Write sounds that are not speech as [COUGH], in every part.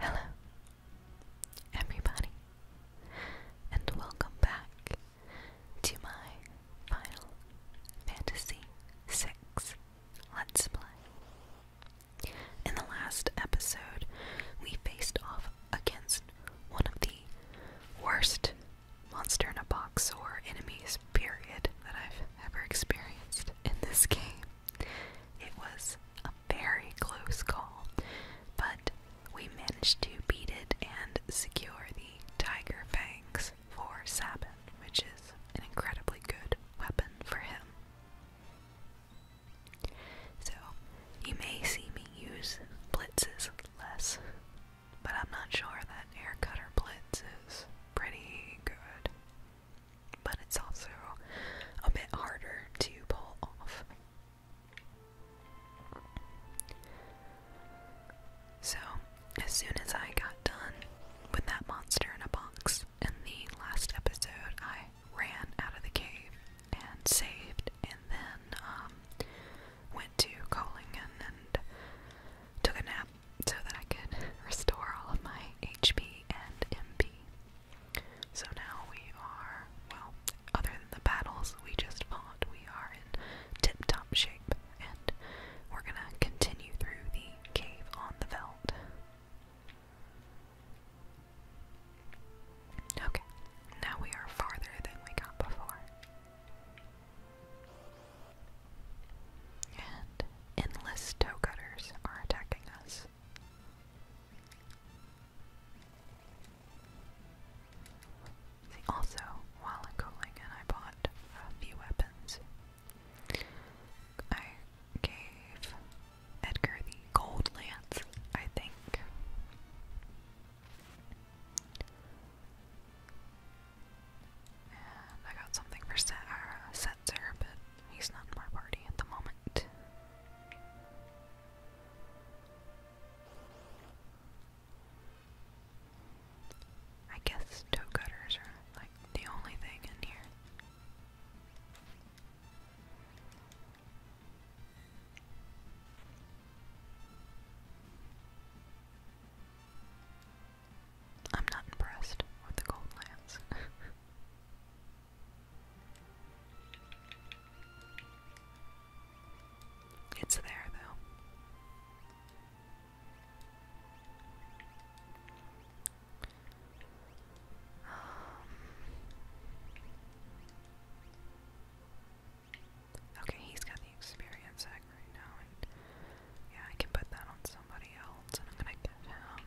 Hello, everybody, and welcome back to my Final Fantasy VI Let's Play. In the last episode, we faced off against one of the worst monster in a box or enemies, period, that I've ever experienced in this game. It was a very close call, but we managed to beat it and secure the Tiger Fangs for Sabin, which is an incredibly good weapon for him. So, you may see me use blitzes less. But I'm not sure that Air Cutter Blitz is pretty good. But it's also a bit harder to pull off. So, as soon as I got done with that monster in a box in the last episode, I ran out of the cave and saved, and then um, went to Colingen and took a nap so that I could restore all of my HP and MP. So now we are, well, other than the battles we just fought, we are in tip top shape, and we're gonna continue through the cave on the veldt. Okay, now we are farther than we got before. And endless toe cutters are attacking us. also, while in Kolingan, I bought a few weapons. I gave Edgar the gold lance, I think. I got something for Set uh, but he's not in my party at the moment. I guess toe cutters are like the only thing in here. I'm not impressed with the gold [LAUGHS] it's there, though. Um, Okay, he's got the experience egg right now, and yeah, I can put that on somebody else, and I'm gonna give him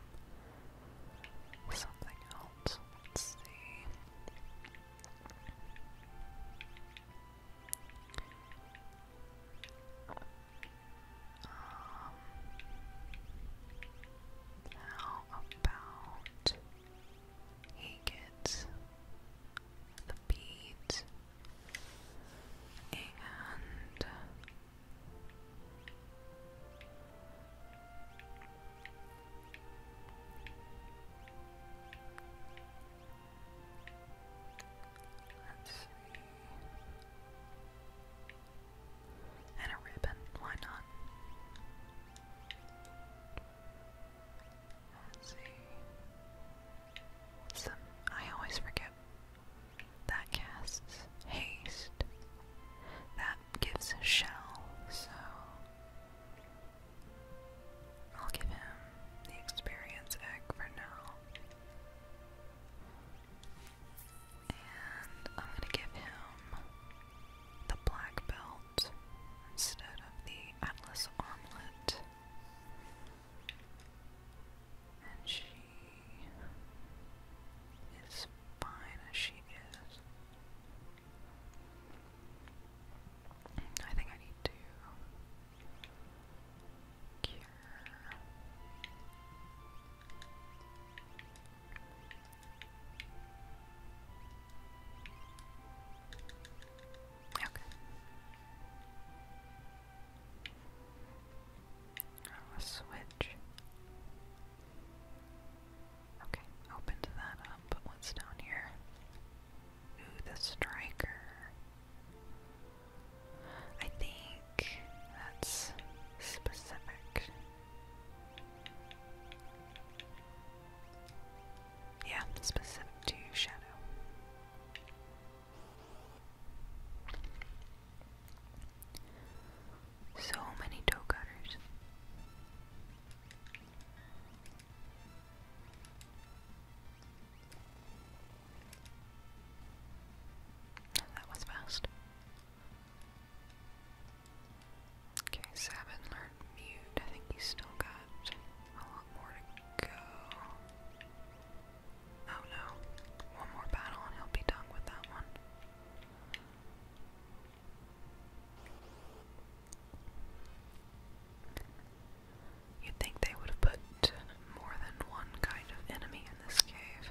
something else. Let's see. Um, how about he gets the beads and And a ribbon, why not? I always forget. That casts haste. That gives a shell, so I'll give him the experience egg for now. And I'm gonna give him the black belt instead of the Atlas armlet. And she is fine as she is. I think I need to cure. Okay. I'll switch. Okay, opened that up, what's down here? Ooh, the striker. I think that's specific. Yeah, specific to shadow. So many toe cutters. That was fast. Okay, Sabin learned mute. I think he's still got a lot more to go. Oh no. One more battle and he'll be done with that one. You'd think they would have put more than one kind of enemy in this cave.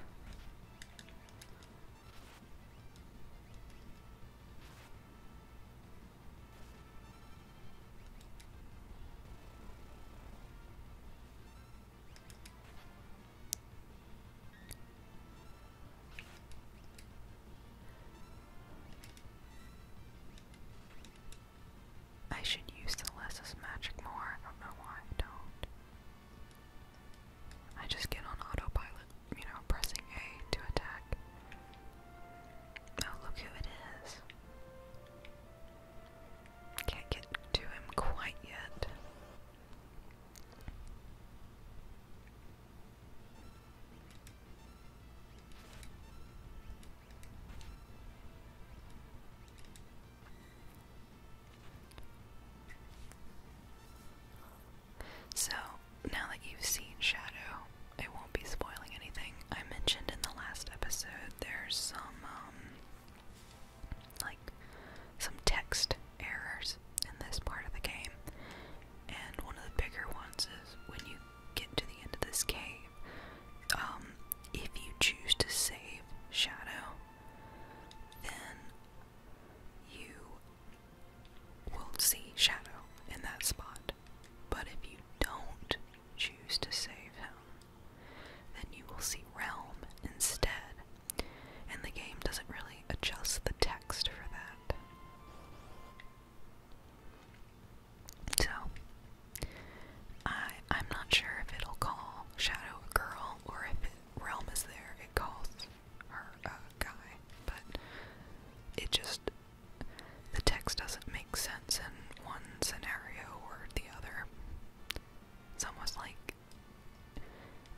I should use the lesses magic more. I don't know why I don't. I just get on autopilot you know, pressing A to attack. Oh, look who it is. Can't get to him quite yet. So, now that you've seen Shadow, it won't be spoiling anything. I mentioned in the last episode there's some, um, like, some text errors in this part of the game. And one of the bigger ones is when you get to the end of this cave, um, if you choose to save Shadow, then you will see Shadow in that spot. But if you don't choose to save him, then you will see Realm instead. And the game doesn't really adjust the text for that. So, I, I'm not sure if it'll call Shadow a girl or if Realm is there, it calls her uh, guy, but it just the text doesn't make sense in one scenario or the other. It's almost like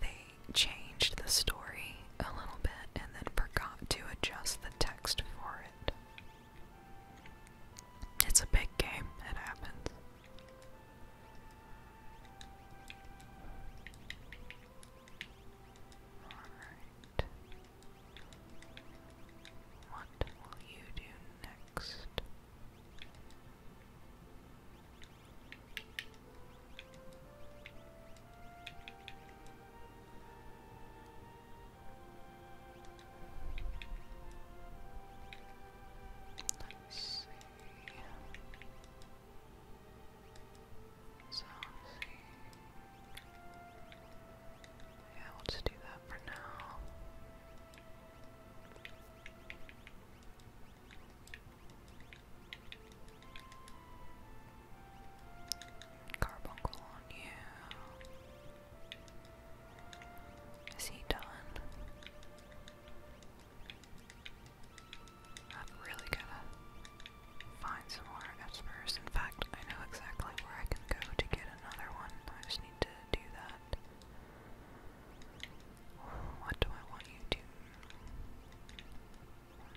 they changed the story a little bit and then forgot to adjust the text for it. It's a big game, it happens. Alright. What will you do next? Let's see. So let's see. Yeah, we'll just do that for now. Carbuncle on you. Is he done? I've really gotta find some more espers. In fact, I know exactly where I can go to get another one. I just need to do that. What do I want you to?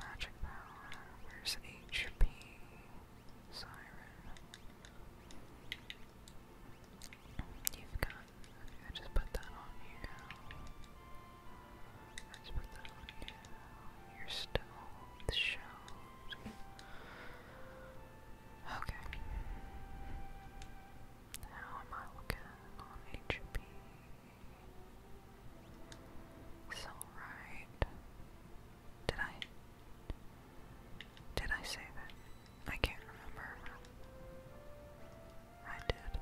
Magic power. Where's HP? Siren. You've got. I just put that on here let Okay. How am I looking on HP? It's alright. Did I? Did I save it? I can't remember. I did.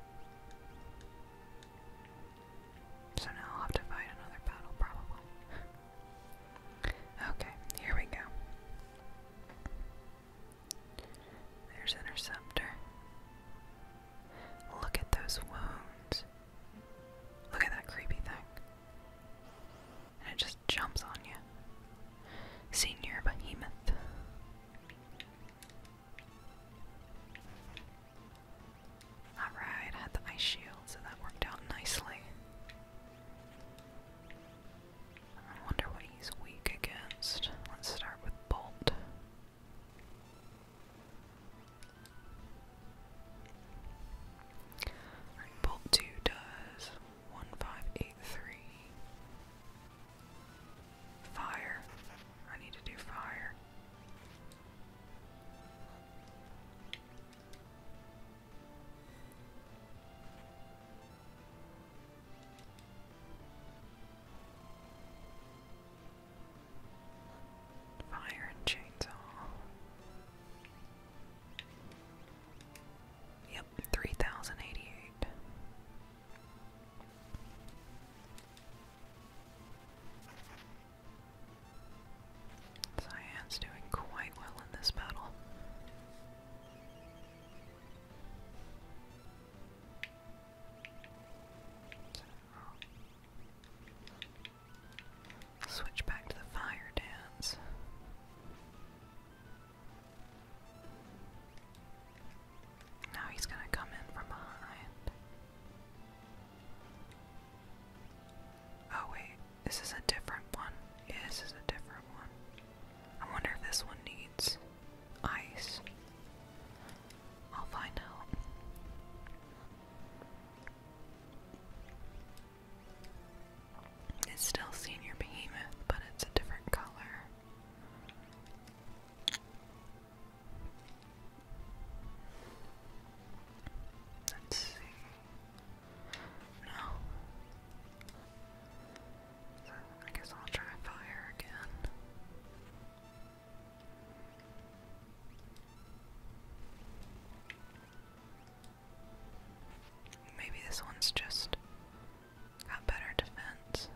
So now I'll have to fight another battle, probably. [LAUGHS] okay, here we go. There's Interceptor. Look at those wounds. Look at that creepy thing. And it just jumps on you. Senior Behemoth. Alright, had the ice shield, so that worked out nicely. I wonder what he's weak against. Let's start with Bolt. Bolt 2 does 1583. Fire. I need to do fire. Fire and chainsaw. Yep, three thousand eighty eight. Cyan's doing quite well in this battle. Switch back to the fire dance. Now he's gonna come in from behind. Oh wait, this is a different one. Yeah, this is a different one. I wonder if this one needs ice. I'll find out. It's still Senior Behemoth, but it's a different color. Let's see. No. I guess I'll try fire again. Maybe this one's just got better defense.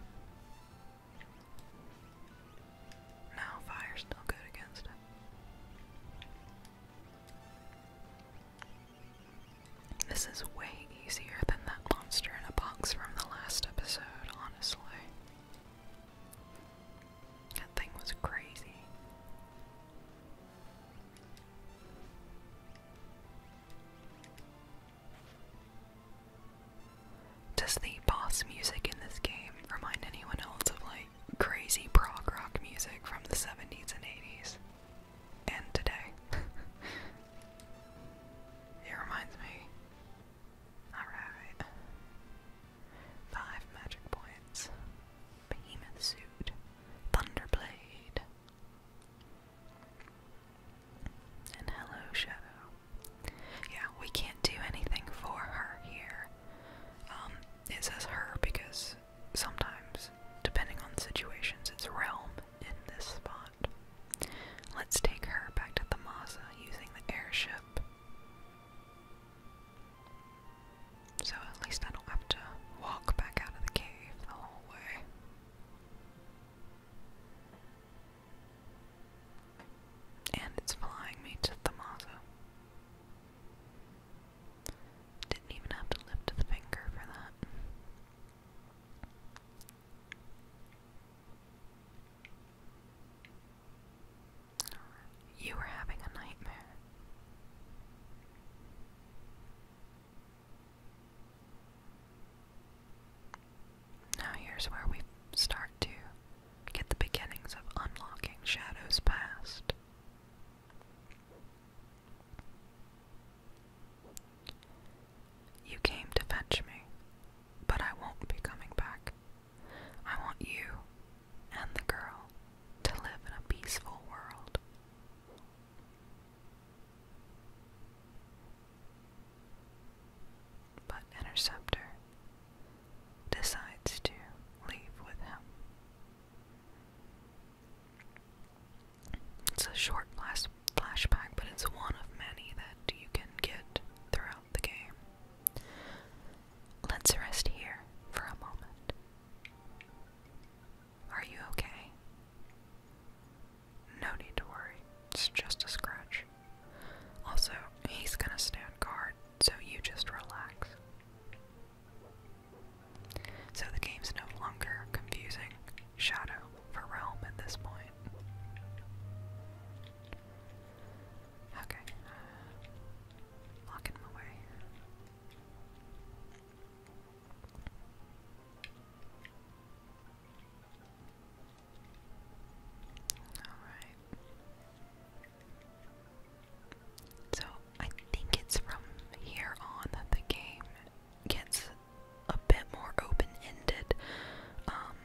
No, fire's still good against it. This is way easier than that monster in a box from the last episode, honestly. That thing was crazy. Does the boss music in this game remind anyone else of like crazy prog rock music from the 70s and 80s? And today. [LAUGHS] it reminds me. Alright. Five magic points. Behemoth suit. Thunderblade. And hello, Shadow. Yeah, we can't do anything for her here. Um, it says her because sometimes, depending on situations, it's realm in this spot. Let's take her back to Thamasa using the airship. So at least I don't have to walk back out of the cave the whole way. And it's flying me to Thamaza. Didn't even have to lift the finger for that. You were having a nightmare. Now, here's where we start to Get the beginnings of unlocking shadows past. You came to fetch me, but I won't be coming back. I want you and the girl to live in a peaceful world but Interceptor decides to leave with him. It's a short flash flashback, but it's one of many that you can get throughout the game. Let's rest here for a moment. Are you okay? No need to worry, it's just a scratch. Also, he's gonna stand guard, so you just relax. So the game's no longer confusing Shadow for Realm at this point. Okay. Lock him away. Alright. So, I think it's from here on that the game gets a bit more open ended. Um,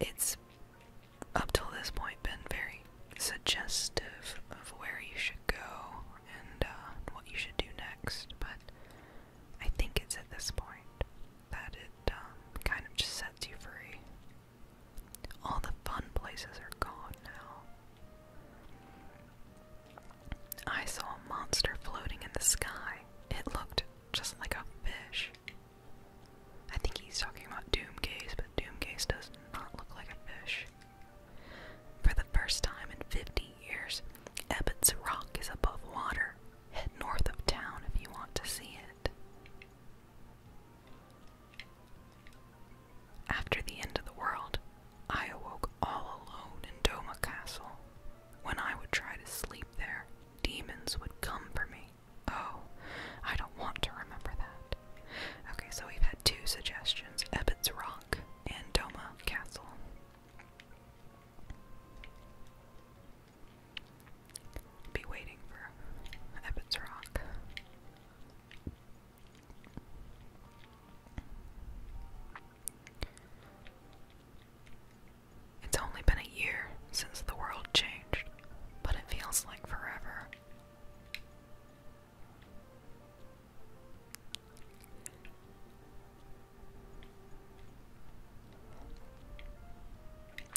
it's up till this point been very suggestive of where you should go and uh, what you should do next, but I think it's at this point that it um, kind of just sets you free. All the fun places are gone now. I saw a monster floating in the sky. It looked just like a fish. I think he's talking about Doomgaze, but Doomgaze does not look like a fish. For the first time in 50 years, Ebbets Rock is above water, Head north of town if you want to see it. After the end of the world, I awoke all alone in Doma Castle. When I would try to sleep there, demons would come for me. Oh, I don't want to remember that. Okay, so we've had two suggestions Ebbets Rock and Doma Castle. Be waiting for Ebbets Rock. It's only been a year since the world changed, but it feels like forever.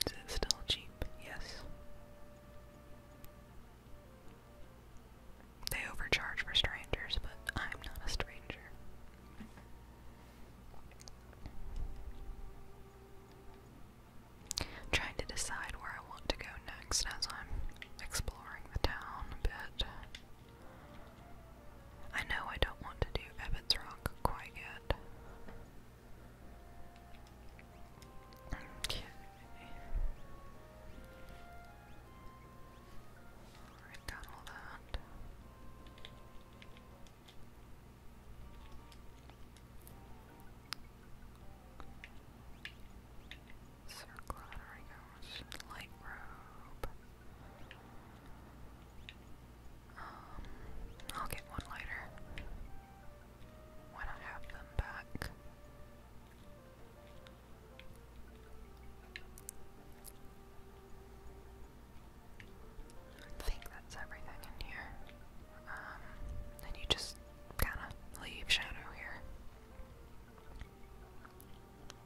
Is it still cheap? Yes. They overcharge for strangers, but I'm not a stranger. trying to decide where I want to go next as I'm exploring the town a bit. I know I don't want to do Ebbets Rock quite yet. Okay. Alright, all that. Circle, Light robe. Um, I'll get one later when I have them back. I think that's everything in here. Um, you just kind of leave Shadow here. Yeah.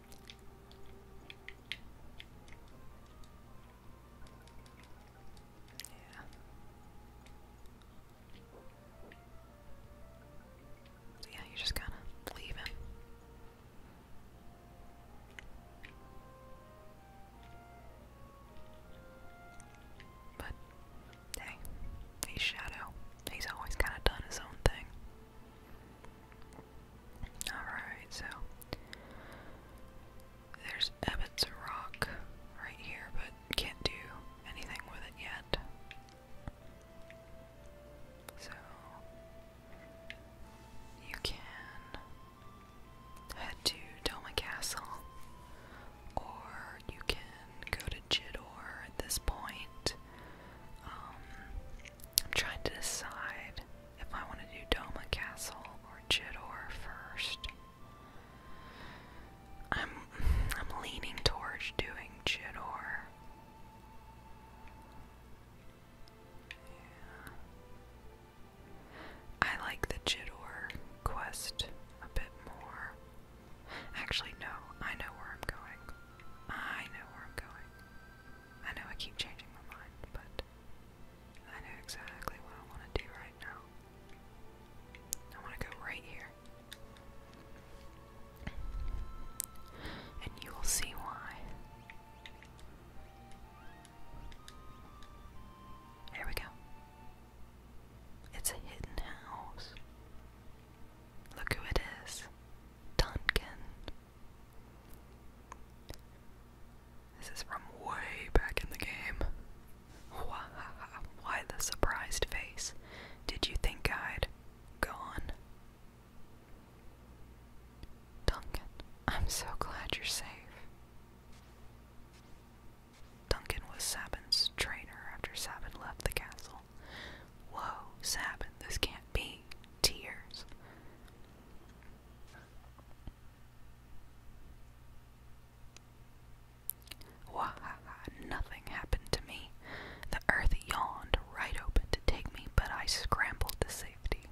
Yeah, you just kind of leave him. But hey, he's Shadow. He's always kind of done his own thing. Alright, so there's Ebbets Rock right here, but can't do anything with it yet. So you can head to Doma Castle, or you can go to Jidor at this point. Um, I'm trying to decide if I want to do Doma Castle or Jidor first. I'm I'm leaning towards doing Jidor. I like the Jidor quest a bit more. Actually, no, I know where I'm going. I know where I'm going. I know I keep changing my mind, but I know exactly what I want to do right now. I want to go right here. And you will see why. Here we go. It's a hidden house. Look who it is Duncan. This is from way back in the game. Why the surprised face? Did you think I'd gone? Duncan, I'm so glad you're safe. Duncan was Sabin's trainer after Sabin left the castle. Whoa, Sabin, this can't be. Tears. Wahaha, nothing happened to me. The earth yawned right open to take me, but I scrambled to safety.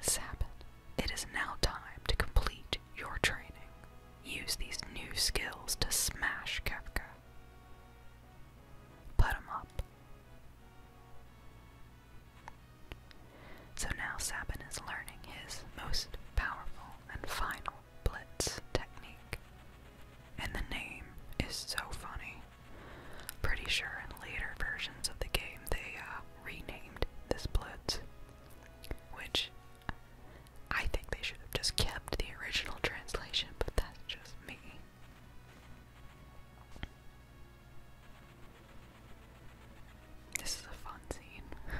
Sabbath, it is now time to complete your training. Use these new skills to smash Kafka put them up. So now Saban is learning his most powerful and final blitz technique. And the name is so funny. Pretty sure in later versions of the game they uh, renamed this blitz, which I think they should have just kept the original translation, but that's just me. This is a fun scene. [LAUGHS]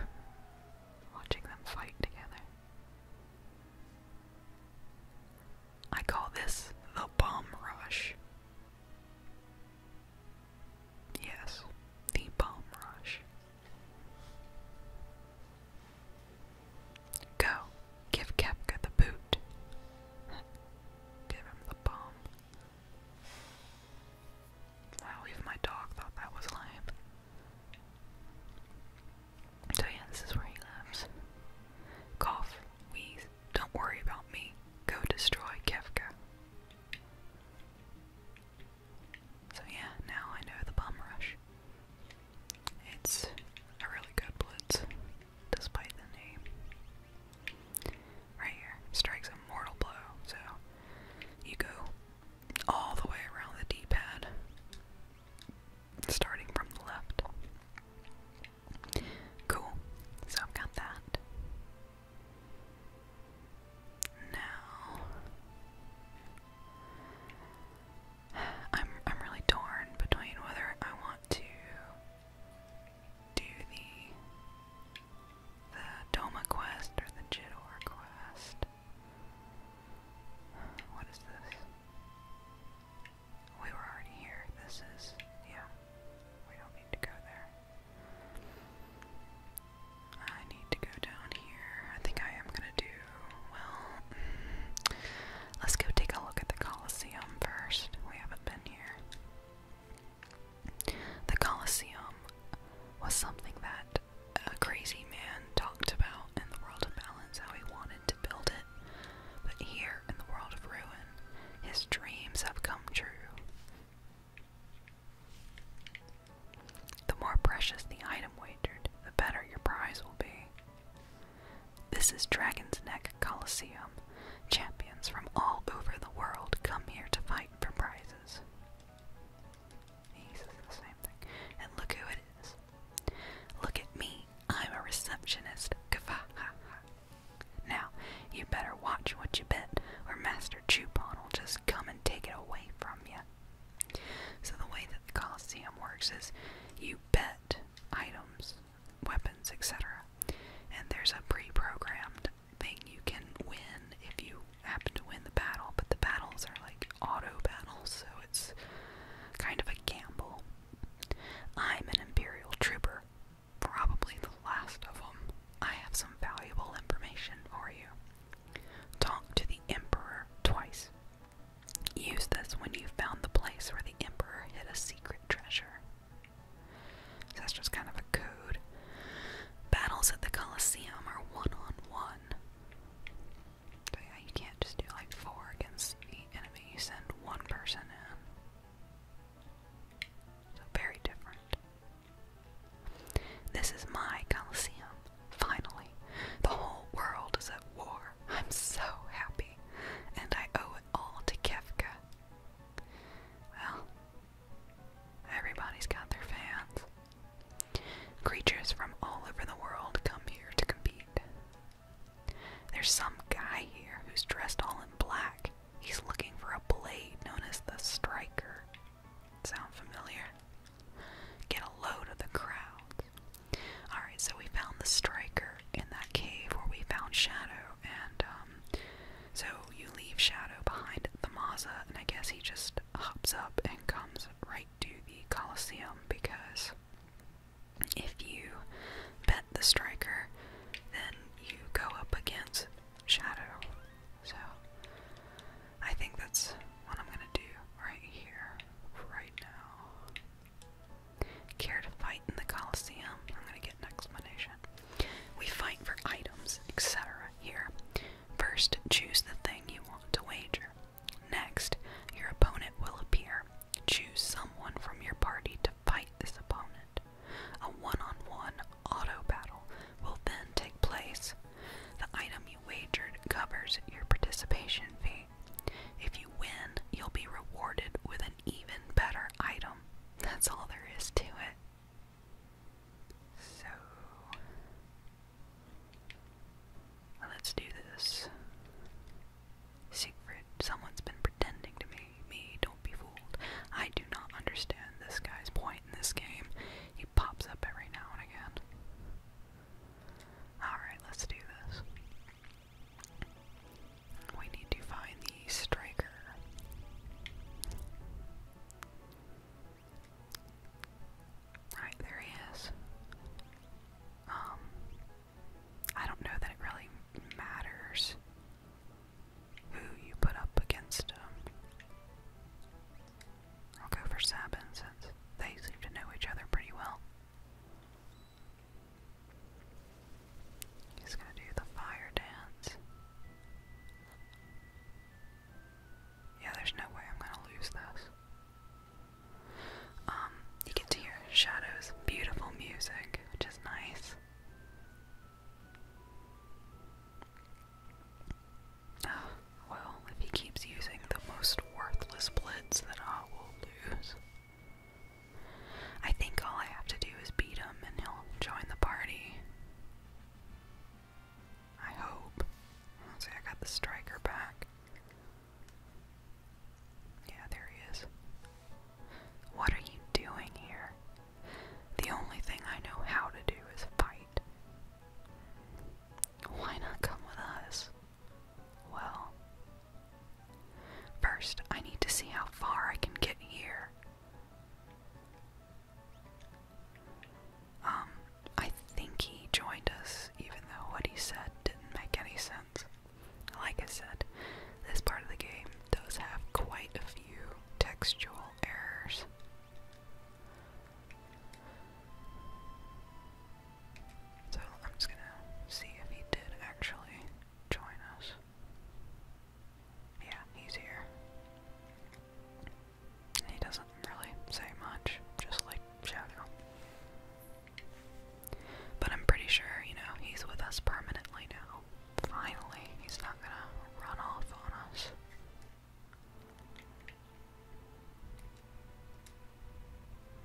Watching them fight together. I call this the bomb rush. Yes, the bomb rush. Go, give Kepka the boot. [LAUGHS] give him the bomb. Wow, even my dog thought that was lame. So yeah, this is where he lives. Cough, wheeze, don't worry about me. Go destroy Kefka. So yeah, now I know the bum rush. It's a really good blitz, despite the name. Right here, strikes a mortal blow, so you go all the way around the D-pad, starting from the left. Cool, so I've got that. Now, I'm I'm really torn between whether I want to do the the Doma quest or the Jidor quest. What is this? We were already here. This is yeah. We don't need to go there. I need to go down here. I think I am gonna do well, let's go take a look at the Colosseum first. We haven't been here. The Colosseum was something that a crazy man talked about in the world of balance, how he wanted to build it. But here in the world of ruin, his dreams have come true. The more precious the item wagered, the better your prize will be. This is Dragon's Neck Coliseum. Champions from all over the world come here to fight for prizes. He says the same thing. And look who it is. Look at me. I'm a receptionist. Now, you better watch what you bet, or Master Chupon will just come and take it away from you. So the way that the Colosseum works is you bet items, weapons, etc. And there's a pre-programmed thing you can win if you happen to win the battle, but the battles are like auto battles, so it's kind of a gamble. I'm an Imperial trooper, probably the last of them. I have some valuable information for you. Talk to the Emperor twice. Use this when you found the place where the Emperor hid a secret treasure. that's just kind of a code. Battles at the Colosseum are one on one. yeah, you can't just do like four against the enemy. You send one person in. So very different. This is my Colosseum. Finally, the whole world is at war. I'm so happy, and I owe it all to Kefka. Well, everybody's got their fans. Creatures from all over the world come here to compete. There's some guy here who's dressed all in black. He's looking for a blade known as the Striker. Sound familiar? Get a load of the crowd. Alright, so we found the striker in that cave where we found Shadow, and um, so you leave Shadow behind the Maza, and I guess he just hops up and comes right to the Coliseum because if you bet the striker, then you go up against Shadow. So I think that's what I'm gonna do right here, right now. Care to fight in the Colosseum? I'm gonna get an explanation. We fight for items, etc. Here. First, choose the thing you want to wager. Next, your opponent will appear. Choose someone from your party to fight this opponent. A one on one auto battle will then take place. The item you wagered covers your participation fee. If you win, you'll be rewarded with an even better item. That's all there is to it. So, let's do this. Siegfried, someone's been pretending to me. Me, don't be fooled. I do not understand this guy's point in this game. He pops up every now and again. Alright, let's do this. We need to find the striker. Right, there he is. Um, I don't know that it really matters who you put up against him. I'll go for Sabin since they seem to know each other pretty well. He's gonna do the fire dance. Yeah, there's no way I'm gonna lose this. Um, you get to hear Shadow's beautiful music, which is nice well, if he keeps using the most worthless blitz, then I will lose. I think all I have to do is beat him and he'll join the party. I hope. see, I got the striker back. Yeah, there he is. What are you doing here? The only thing I know how to do is fight. Why not come with us? Well, first I need to see how far I can get here. Um, I think he joined us, even though what he said didn't make any sense. Like I said, this part of the game does have quite a few textual errors. So I'm just gonna see if he did actually join us. Yeah, he's here. He doesn't really say much, just like Shadow. But I'm pretty sure, you know, he's with us permanently now. Finally, he's not gonna run off on us.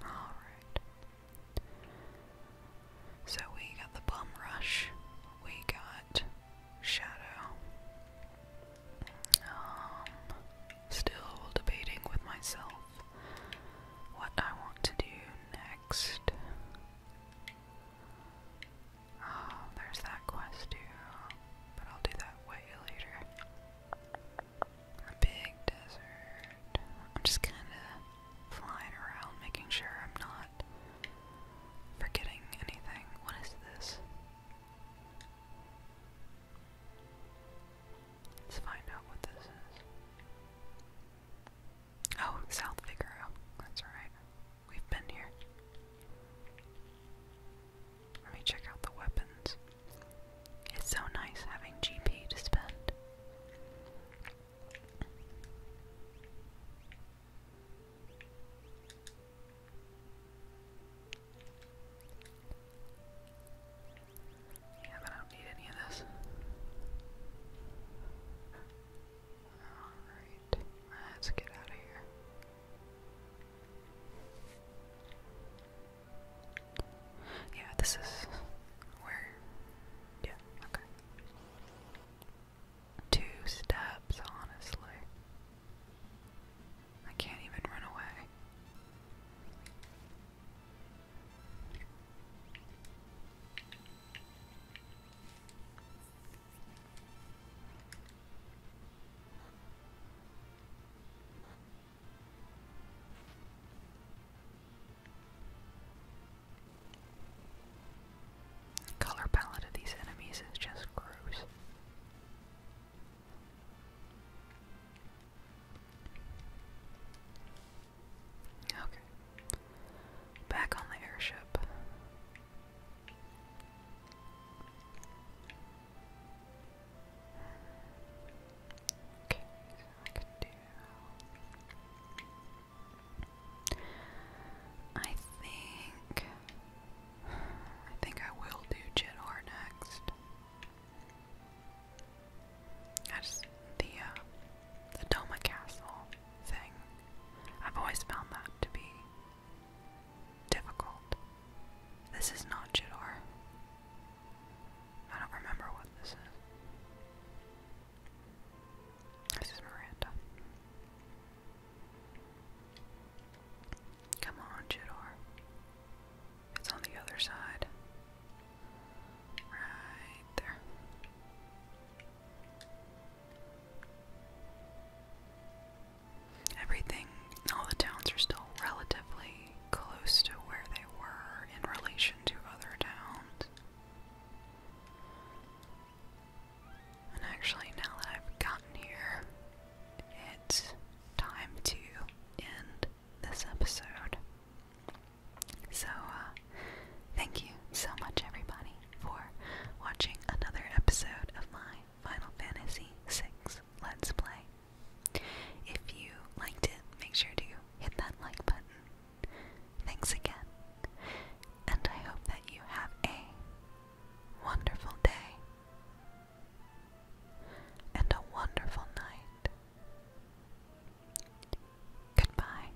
Alright. So we got the Bum Rush, we got Shadow. Um, still debating with myself what I want to do next. Ah, there's that quest too, but I'll do that way later. A big desert. I'm just kind of flying around, making sure I'm not forgetting anything. What is this? Let's find out what this is. Oh, South Figaro. That's right. We've been here. Let me check out the weapons. It's so nice having GP to spend. Yeah, but I don't need any of this. Alright, let's get out of here. Yeah, this is where. Yeah, okay. Two steps, honestly. I can't even run away. The color palette of these enemies is just gross. Okay. Back on the airship. Okay, I think. I think I will do Jidor next. I just the uh, the Doma Castle thing. I've always found that to be difficult. This is not Jador. I don't remember what this is. This is Miranda. Come on, Jador. It's on the other side. Right there. Everything, all the towns are still relatively close to where they were in relation to other towns. And actually, now that I've gotten here, it's time to end this episode. So, uh, thank you so much, everybody, for watching another episode of my Final Fantasy VI Let's Play. If you liked it, make sure to hit that like button. Thanks again, and I hope that you have a wonderful day and a wonderful night. Goodbye.